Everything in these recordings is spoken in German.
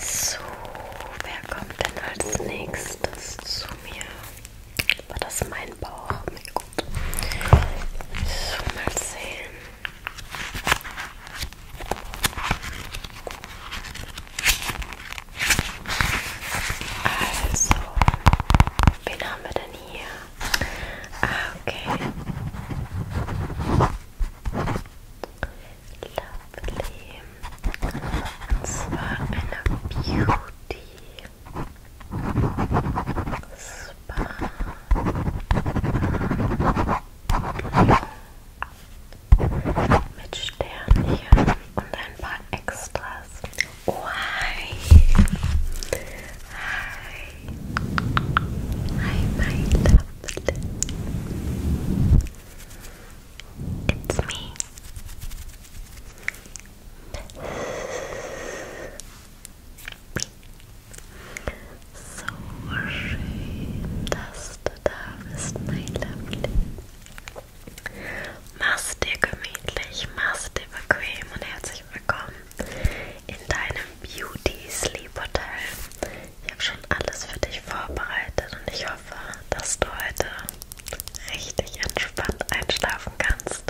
So, wer kommt denn als nächstes zu mir? War das mein Bauch? Mein Gott. So, mal sehen. Also, wen haben wir denn hier? Ah, okay. Lovely. Spa and Beauty Spa mit Sternchen und ein paar Extras. Hi! Hi, my lovely! It's me. So schön, dass du da bist, mein Lovely. Mach's dir gemütlich, mach's dir bequem und herzlich willkommen in deinem Beauty Sleep Hotel. Ich habe schon alles für dich vorbereitet und ich hoffe, hoffe, dass du heute richtig entspannt einschlafen kannst.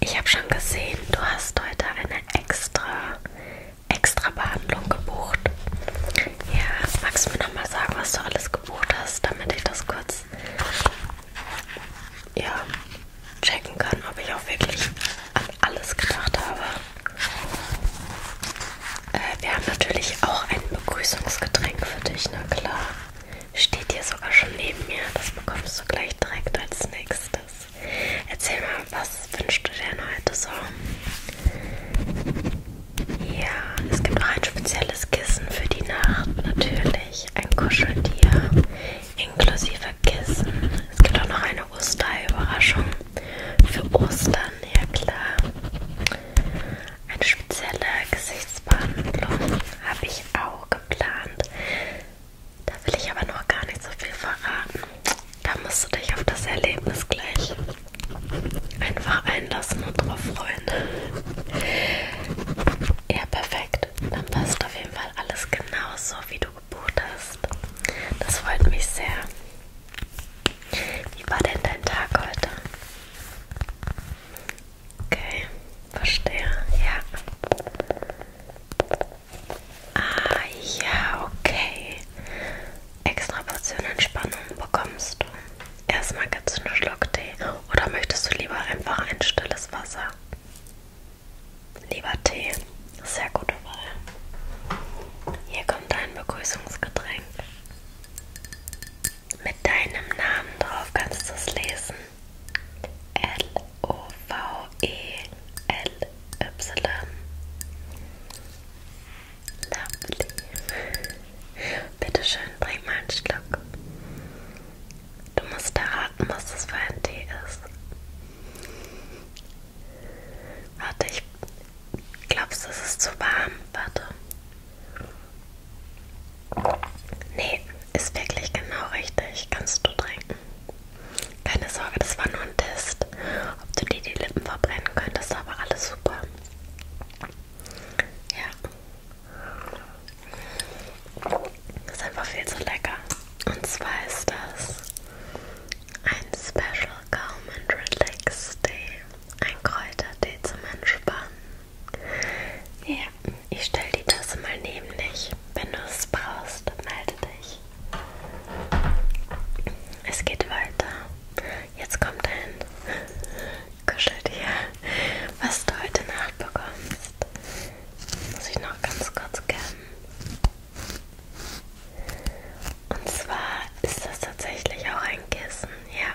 Ich habe schon gesehen, du hast heute eine extra, extra Behandlung gebucht. Ja, magst du mir nochmal sagen, was du alles gebucht hast, damit ich das kurz ja, checken kann, ob ich auch wirklich an alles gedacht habe. Äh, wir haben natürlich auch ein Begrüßungsgetränk für dich, na klar. Steht hier sogar schon neben mir. Das bekommst du gleich direkt als nächstes. Erzähl mal, was wünschst du denn heute so? Ja, es gibt auch ein spezielles Kissen für die Nacht, natürlich. Ein Kuscheltier inklusive Kissen. Es gibt auch noch eine Osterüberraschung für Ostern, ja klar. Eine spezielle Gesichtsbehandlung habe ich auch geplant. Da will ich aber noch gar nicht so viel verraten. Da musst du dich auf das Erlebnis gleich einfach einlassen und drauf freuen. Ja, perfekt. Dann passt auf jeden Fall alles genauso, wie du gebucht hast. Das freut mich sehr. Wie war denn dein Tag heute? Okay, verstehe. Ja. Ah, ja, okay. Extra Portion Entspannung bekommst du. Erstmal gibt es einen Schluck Tee. Oder möchtest du lieber einfach ein stilles Wasser? Lieber Tee. Sehr gute Wahl. Hier kommt dein Begrüßungsgetränk mit deinem Namen drauf. Kannst du es lesen? L-O-V-E-L-Y. Lovely. Bitte schön, bring mal einen Schluck. Du musst erraten, was es für ein Tee ist. Warte, ich, Glaubst du, es ist zu warm? Warte. Nee, ist wirklich genau richtig. Kannst du trinken. Keine Sorge, das war nur ein Test. Ob du dir die Lippen verbrennen könntest, aber alles super. Ja. Ist einfach viel zu lecker. Und zwar ist das ein Special Calm and Relax Day. Ein Kräutertee zum Entspannen. Ja, ich stelle die Tasse mal neben dich. Wenn du es brauchst, melde dich. Es geht weiter. Jetzt kommt ein Kuscheltier, was du heute Nacht bekommst. Muss ich noch ganz kurz kennen. Und zwar ist das tatsächlich auch ein Kissen, ja.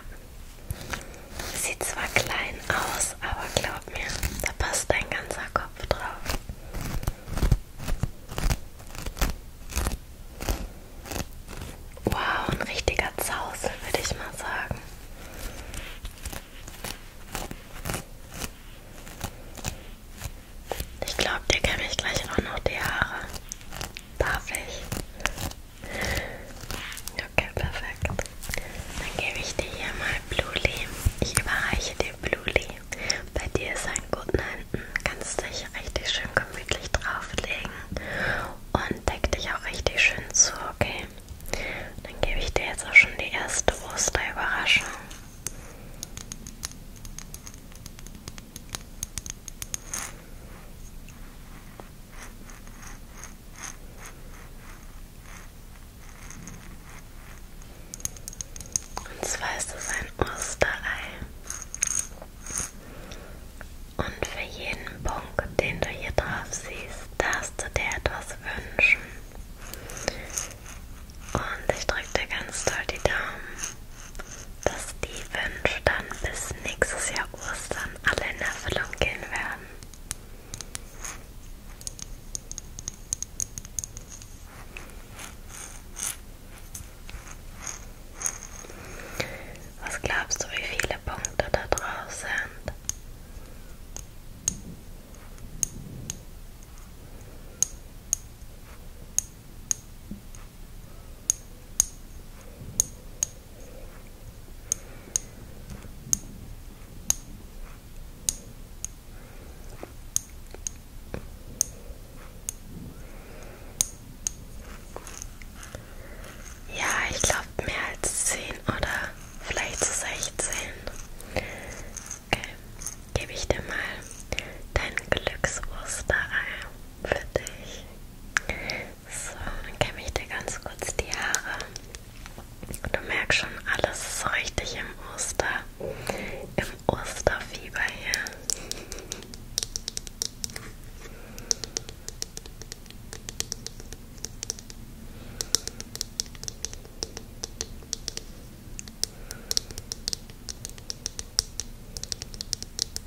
Sieht zwar klein aus, aber glaub mir, da passt dein ganzer Kopf drauf. Wow, ein richtiger Zausel, würde ich mal sagen. Ich glaube, dir kämme ich gleich auch noch die Haare. Darf ich? Okay, perfekt. Dann gebe ich dir hier mal Bluli. Ich überreiche dir Bluli. Bei dir ist ein guten Händen. Kannst dich richtig schön gemütlich drauflegen und deck dich auch richtig schön zu, okay? Dann gebe ich dir jetzt auch schon die erste Osterüberraschung. Und zwar ist es ein Osterei. Und für jeden Punkt, den du hier drauf siehst, darfst du dir etwas wünschen. Und ich drücke dir ganz doll die Daumen dass die Wünsche dann bis nächstes Jahr Ostern alle in Erfüllung gehen werden. Was glaubst du, wie viele Punkte da drauf sind? Ja, ich glaube mehr als zehn oder vielleicht zu so 16. Okay, gebe ich dir mal dein Glücksosterei für dich. So, dann kämme ich dir ganz kurz die Haare. Du merkst schon, alles ist so richtig im Oster, im Osterfieber hier.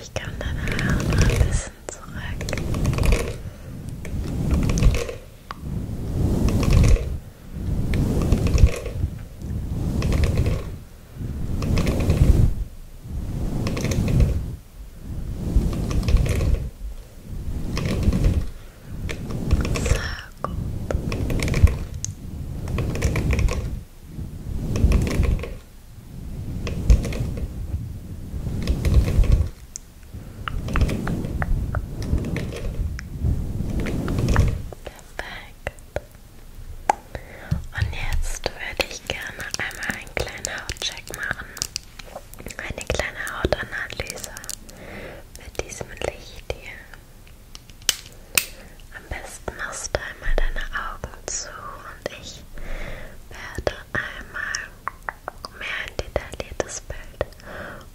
Ich kann deine Haare noch ein bisschen zurück. So, gut. Und jetzt würde ich gerne einmal einen kleinen Hautcheck machen. Eine kleine Hautanalyse mit diesem Licht hier. Am besten machst du einmal deine Augen zu und ich werde einmal mehr ein detailliertes Bild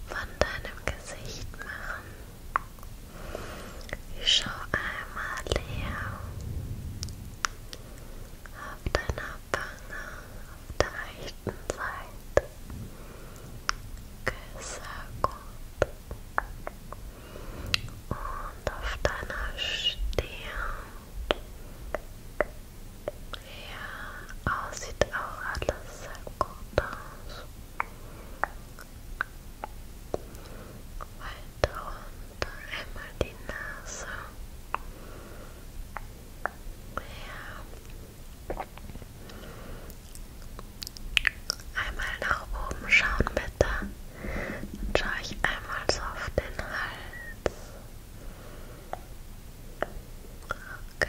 von deinem Gesicht machen. Ich schau einmal leer auf deiner Wange, auf der rechten Seite. Okay, sehr gut und auf deiner Stirn. Ja, aussieht oh, auch alles sehr gut aus. Weiter runter, einmal die Nase. Ja. Einmal nach oben schauen, bitte. Dann schaue ich einmal so auf den Hals. Okay,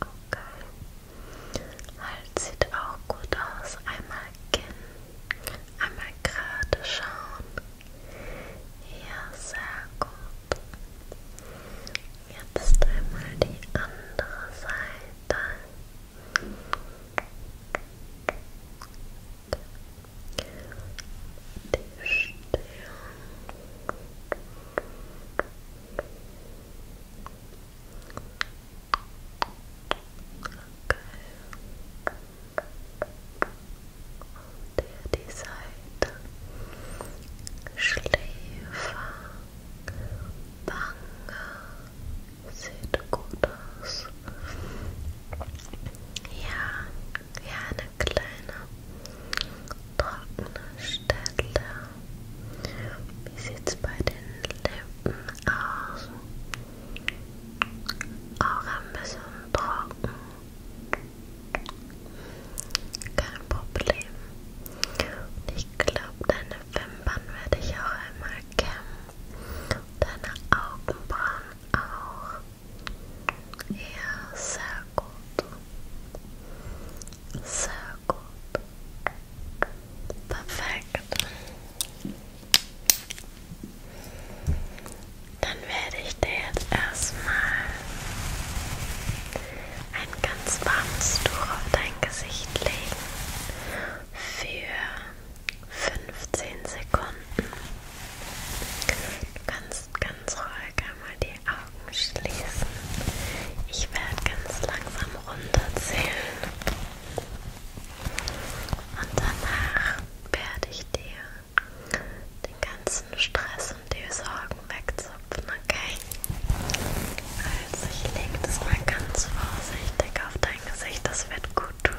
okay. Hals sieht auch gut aus. Einmal Kinn, einmal gerade schauen. Ja, sehr gut. Jetzt einmal die andere Seite. Die Stirn. Okay. Und hier die Seite. Schläfer, Wange, sieht gut aus. Ja, ja, eine kleine trockene Stelle. Wie sieht es bei den Lippen aus? Auch ein bisschen trocken. Kein Problem. Und ich glaube, deine Wimpern werde ich auch einmal kämmen. Deine Augenbrauen auch. Ja, sehr gut. Sehr gut. Perfekt. Dann werde ich dir jetzt erstmal ein ganz warmes Tuch auf dein Gesicht legen für 15 Sekunden. Du kannst ganz ruhig einmal die Augen schließen. Ich werde ganz langsam runterzählen. Und danach werde ich dir den ganzen Stress und die Sorgen wegzupfen, okay? Also ich lege das mal ganz vorsichtig auf dein Gesicht, das wird gut tun.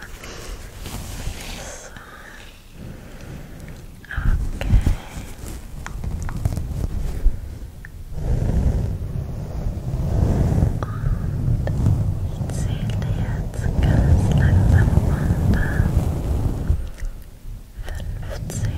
So. Okay. Und ich zähle jetzt ganz langsam runter. 15 14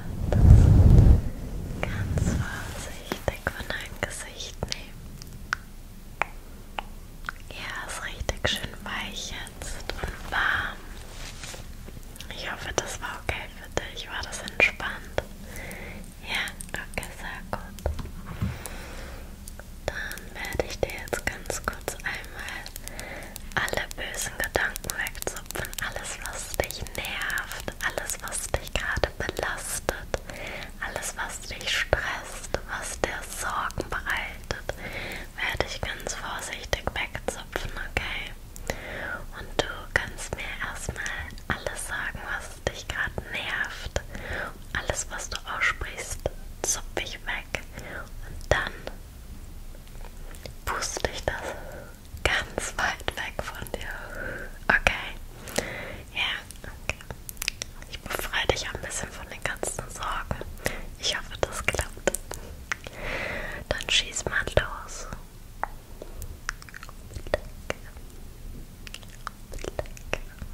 Herz ganz vorsichtig von deinem Gesicht nehmen. Ja, ist richtig schön weich jetzt und warm. Ich hoffe, das war okay für dich. War das entspannt? Ja, okay, sehr gut. Dann werde ich dir jetzt ganz kurz einmal alle bösen Gedanken wegzupfen, alles, was dich nervt, alles, was dich gerade belastet, alles, was dich stresst, was dir Sorgen bereitet, werde ich ganz vorsichtig wegzupfen, okay? Und du kannst mir erstmal alles sagen, was dich gerade nervt. Alles, was du aussprichst, zupf ich weg. Und dann puste ich das ganz weit weg von dir. Okay? Ja, okay. Ich befreie dich ein bisschen von den ganzen Sorgen. Ich hoffe, das klappt. Dann schieß mal los.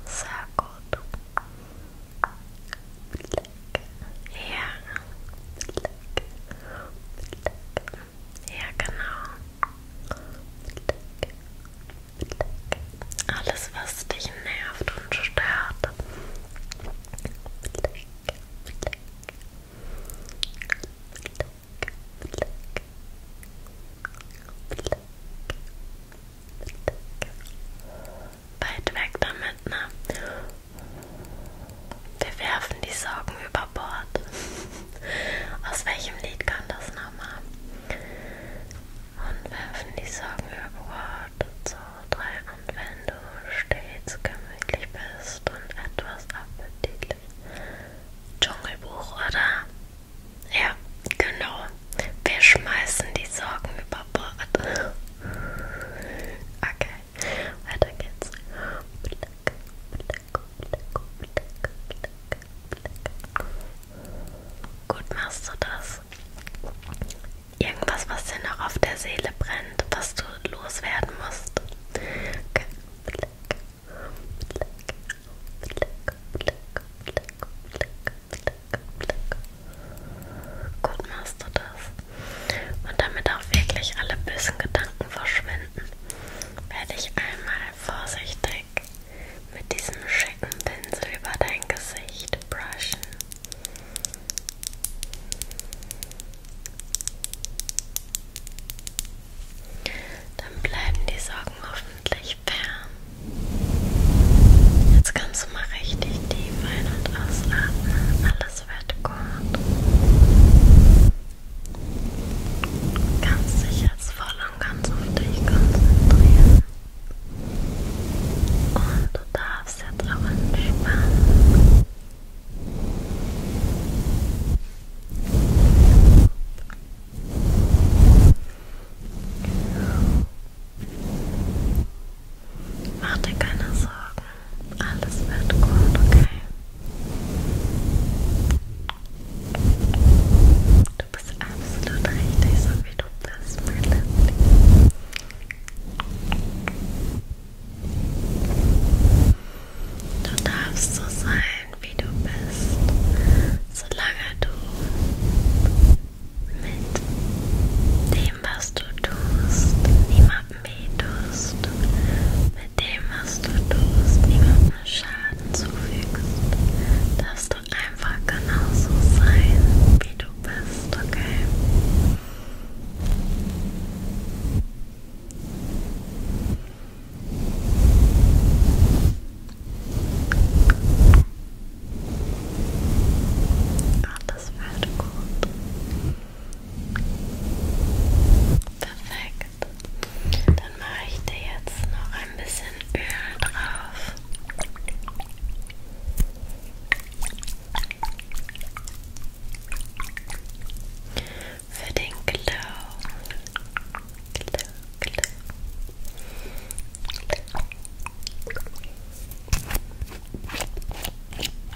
Sehr gut. Ja. Ja, genau. Alles, was dich nervt und stört. Weit weg damit, ne? Wir werfen die Sorgen über Bord. Aus welchem Lied kam das nochmal? Und werfen die Sorgen über Bord. So, drei. Und wenn du stets gemütlich bist und etwas appetitlich. Dschungelbuch, oder? Ja, genau. Wir schmeißen die Sorgen über Bord. Okay. Weiter geht's. Gut machst du das. Irgendwas, was dir noch auf der Seele brennt, was du loswerden musst. Okay. Gut machst du das. Und damit auch wirklich alle bösen Gedanken verschwinden, werde ich einmal vorsichtig mit diesem schicken Pinsel über dein Gesicht brushen. Dann bleiben die Sorgen hoffentlich fern. Jetzt kannst du mal richtig tief ein- und ausatmen. Alles ins Bett kommt. Du kannst dich jetzt voll und ganz auf dich konzentrieren. Und du darfst jetzt auch entspannen. Mach dir keine Sorgen, alles wird gut, okay? Du bist absolut richtig, so wie du bist, mein Liebling. Du darfst so sein, wie du bist, solange du mit dem, was du tust, niemanden betest, mit dem, was du tust, niemandem Schaden zufügst, darfst du einfach genauso sein, wie du bist, okay? Oh, das wird gut. Perfekt. Dann mache ich dir jetzt noch ein bisschen Öl drauf. Für den Glow. Glow, glow.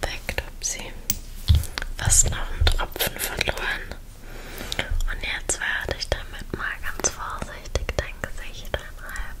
Perfekt, hab sie fast noch einen Tropfen verloren. Und jetzt werde ich damit mal ganz vorsichtig dein Gesicht einreiben.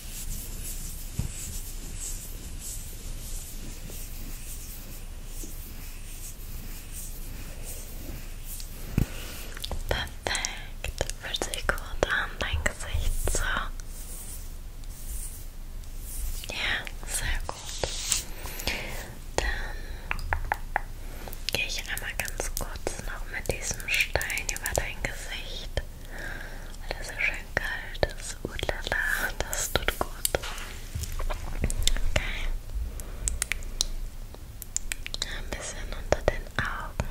Perfekt. Fühlt sich gut an, dein Gesicht so. Ja, sehr gut. Dann gehe ich einmal ganz kurz jetzt noch mit diesem Stein über dein Gesicht, weil das so schön kalt ist. Udlala, das tut gut. Okay. Ein bisschen unter den Augen.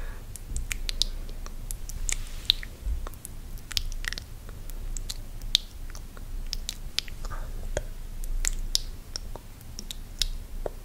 Und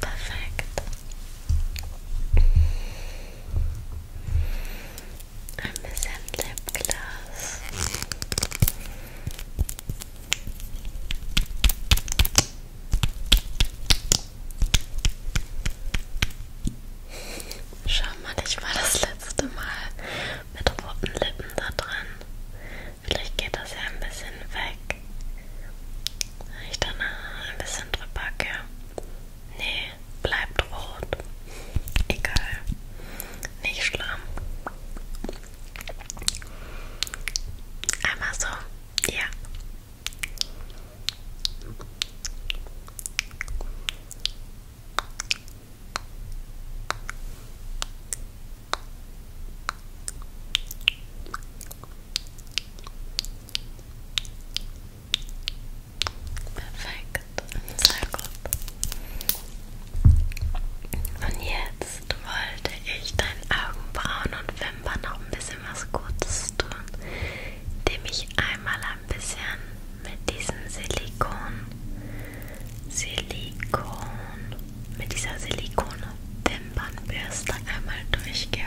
Perfekt. Ein bisschen Lipgloss. Schau mal, ich war das letzte Mal mit roten Lippen da dran. Vielleicht geht das ja ein bisschen weg. Wenn ich dann ein bisschen drüber gehe. Nee, bleibt rot. Egal. Nicht schlimm. Einmal so. Ja. Perfekt, sehr gut. Und jetzt wollte ich deinen Augenbrauen und Wimpern noch ein bisschen was Gutes tun, indem ich einmal ein bisschen mit diesem Silikon, Silikon, mit dieser Silikone-Wimpernbürste einmal durchgehe, okay? Okay.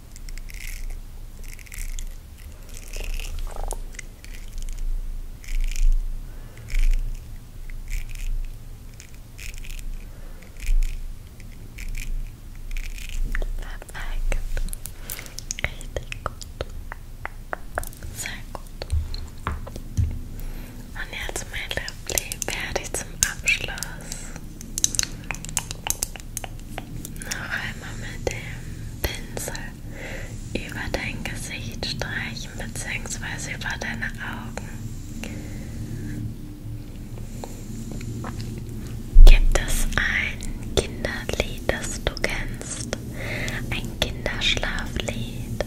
Perfekt. Richtig gut. Sehr gut. Und jetzt, mein Liebling, werde ich zum Abschluss noch einmal mit dem Pinsel über dein Gesicht streichen bzw. über deine Augen. Gibt es ein Kinderlied, das du kennst? Ein Kinderschlaflied?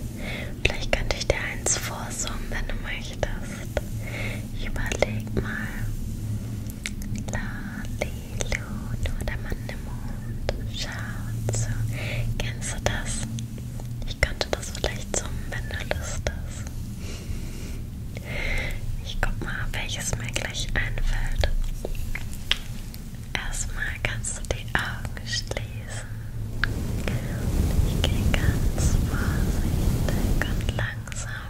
Vielleicht könnte ich dir eins vorsummen, wenn du möchtest. Ich überleg mal. Lalilu, nur der Mann im Mond schaut zu. Kennst du das? Ich könnte das vielleicht summen, wenn du Lust hast. Ich guck mal, welches mir gleich einfällt. Erstmal kannst du die Augen schließen. Ich gehe ganz vorsichtig und langsam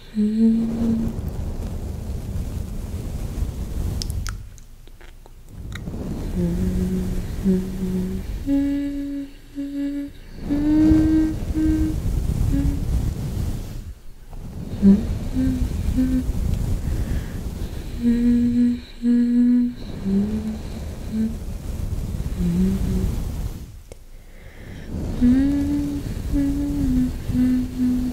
Mm. Mm -hmm. Mm -hmm. Mm -hmm. Mm -hmm. Mm -hmm. Mm -hmm.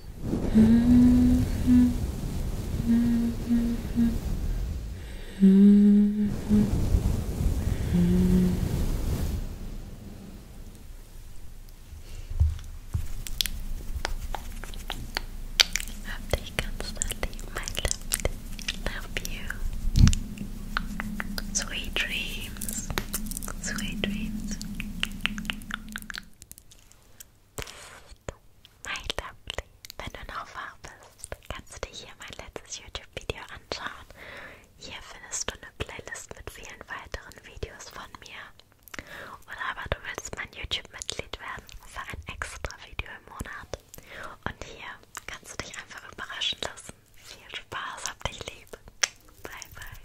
Hope they constantly my love love you. Sweet dreams. Sweet dreams. bist, my lovely, wenn du noch wach bist, kannst du dir hier mein letztes YouTube-Video anschauen. Hier findest du eine Playlist mit vielen weiteren Videos von mir. Oder aber du willst mein YouTube-Mitglied werden für ein extra Video im Monat. Und hier kannst du dich einfach überraschen lassen. Viel Spaß, hab dich lieb. Bye, bye.